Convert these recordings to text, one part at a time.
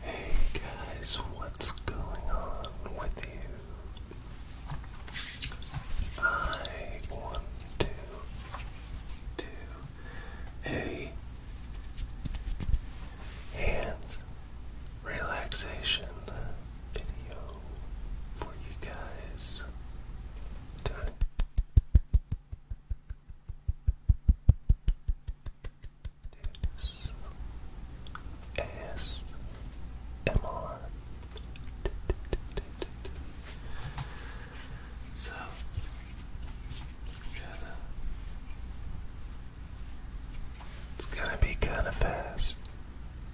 Hey guys, what's going on with you? I want to do a hands relaxation video for you guys. Today. This So it's gonna be kinda fast.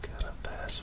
Kinda fast.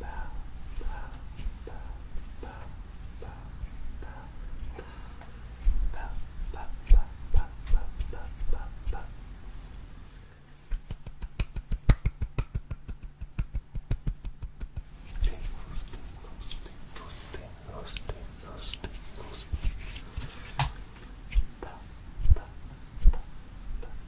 bow, bow, bow, bow, bow, bow, bow, bow, bow, bow, bow, bow, bow, bow. Tingles, tingles, tingles, tingles, tingles, tingles. Bow, bow, bow, bow, bow.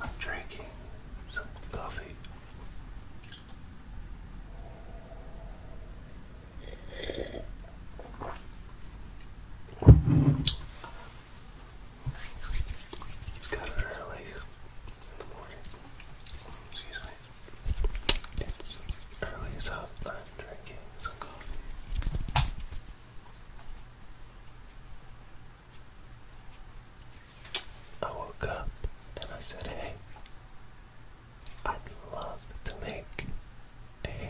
I'm drinking some coffee. It's kind of early in the morning. Excuse me. It's early, so I'm drinking some coffee. I woke up and I said, hey, I'd love to make a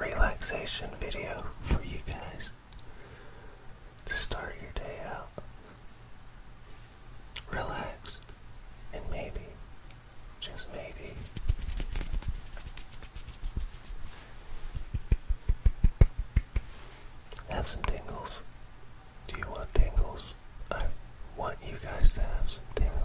relaxation video for you guys to start your day out relax, and maybe, just maybe, have some tingles. Do you want tingles? I want you guys to have some tingles.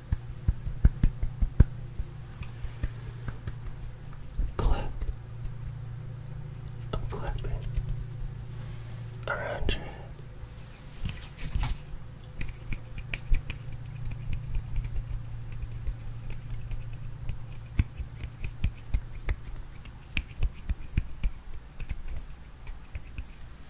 Clap. I'm clapping around your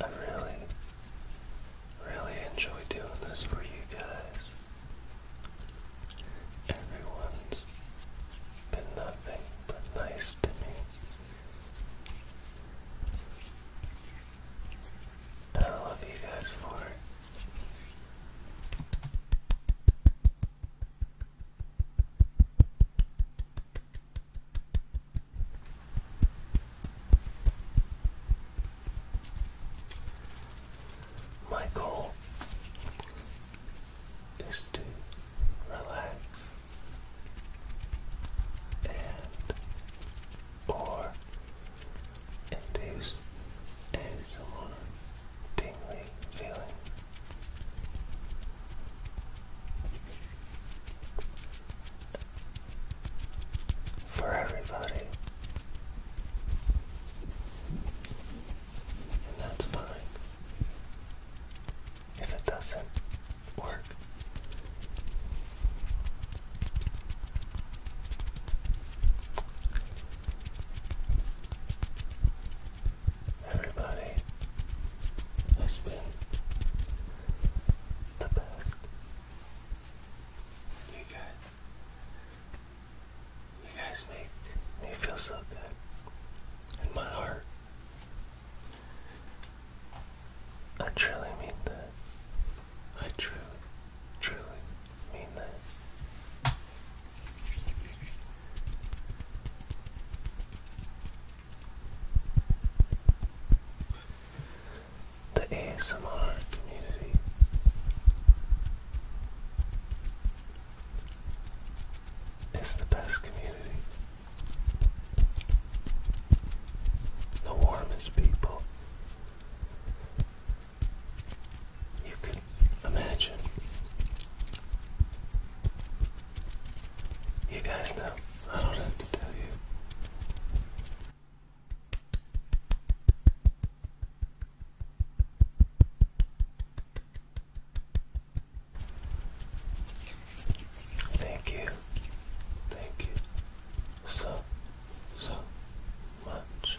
I really, really enjoy doing this for you guys. Everyone's been nothing but nice to me. I love you guys for it. My is to relax and or induce ASMR tingly feeling. For everybody, and that's fine if it doesn't work. Everybody has been the best. You guys, you guys make me feel so good. And my heart I truly mean that. I truly, truly mean that. The ASMR community it's the best community. The warmest people you could imagine. You guys know, I don't have to tell you. Thank you. Thank you so, so much.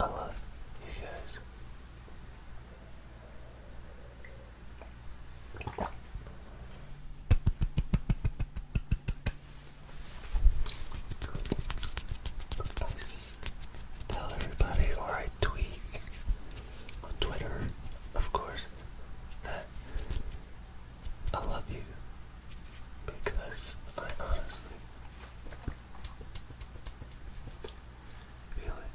I love you guys tell everybody or I tweet on Twitter, of course, that I love you because I honestly feel it.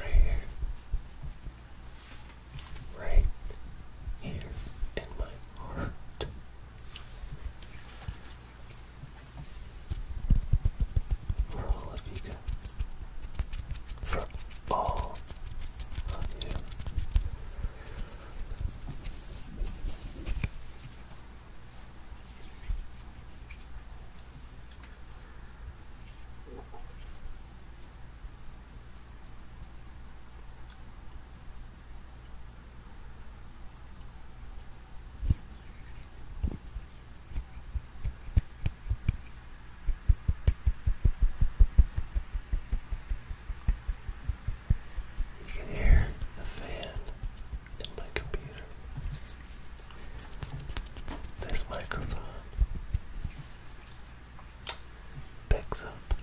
Right here. Right here in my heart for all of you guys. For all of you. You can hear the fan in my computer. This microphone picks up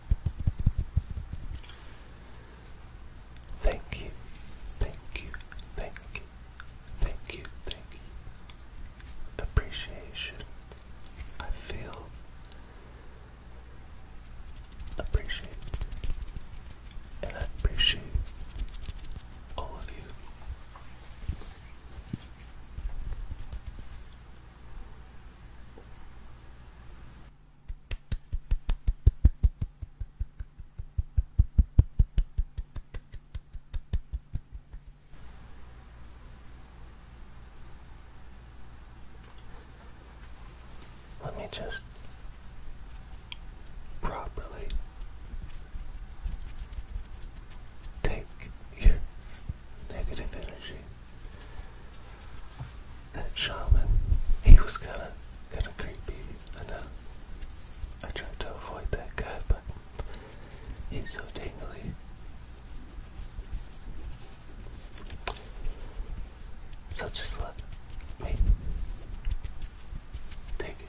Thank you, thank you, thank you, thank you, thank you. Appreciation. I feel appreciated. And I appreciate all of you. Let me just properly take your negative energy that shaman, he was kind of kind of creepy. I know. I tried to avoid that guy, but he's so dangly. So just let me take it.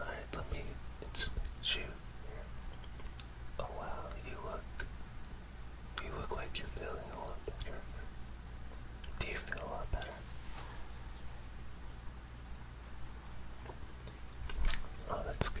Alright, let me inspect you. Oh wow, you look you look like you're feeling a lot better. Do you feel a lot better? Oh, that's good.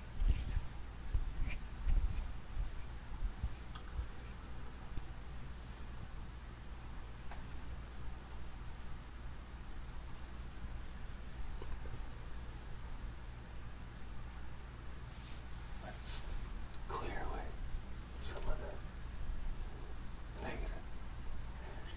Let's some of negative energy.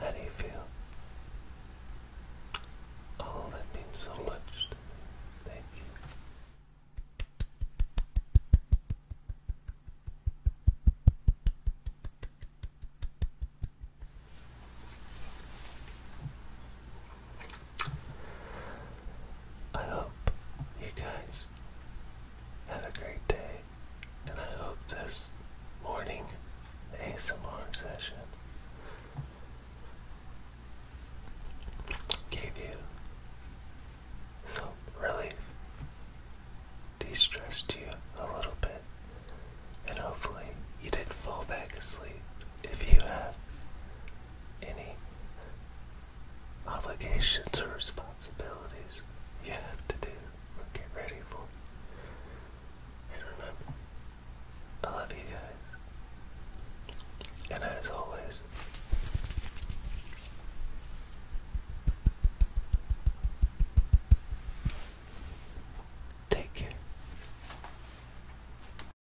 How do you feel? Oh, that means so much Thank you. I hope you guys had a great day, and I hope this morning ASMR session gave you some relief, de stressed you a little bit, and hopefully you didn't fall back asleep if you had any obligations or responsibilities you have to do or get ready for. And remember, I love you guys. And as always, take care.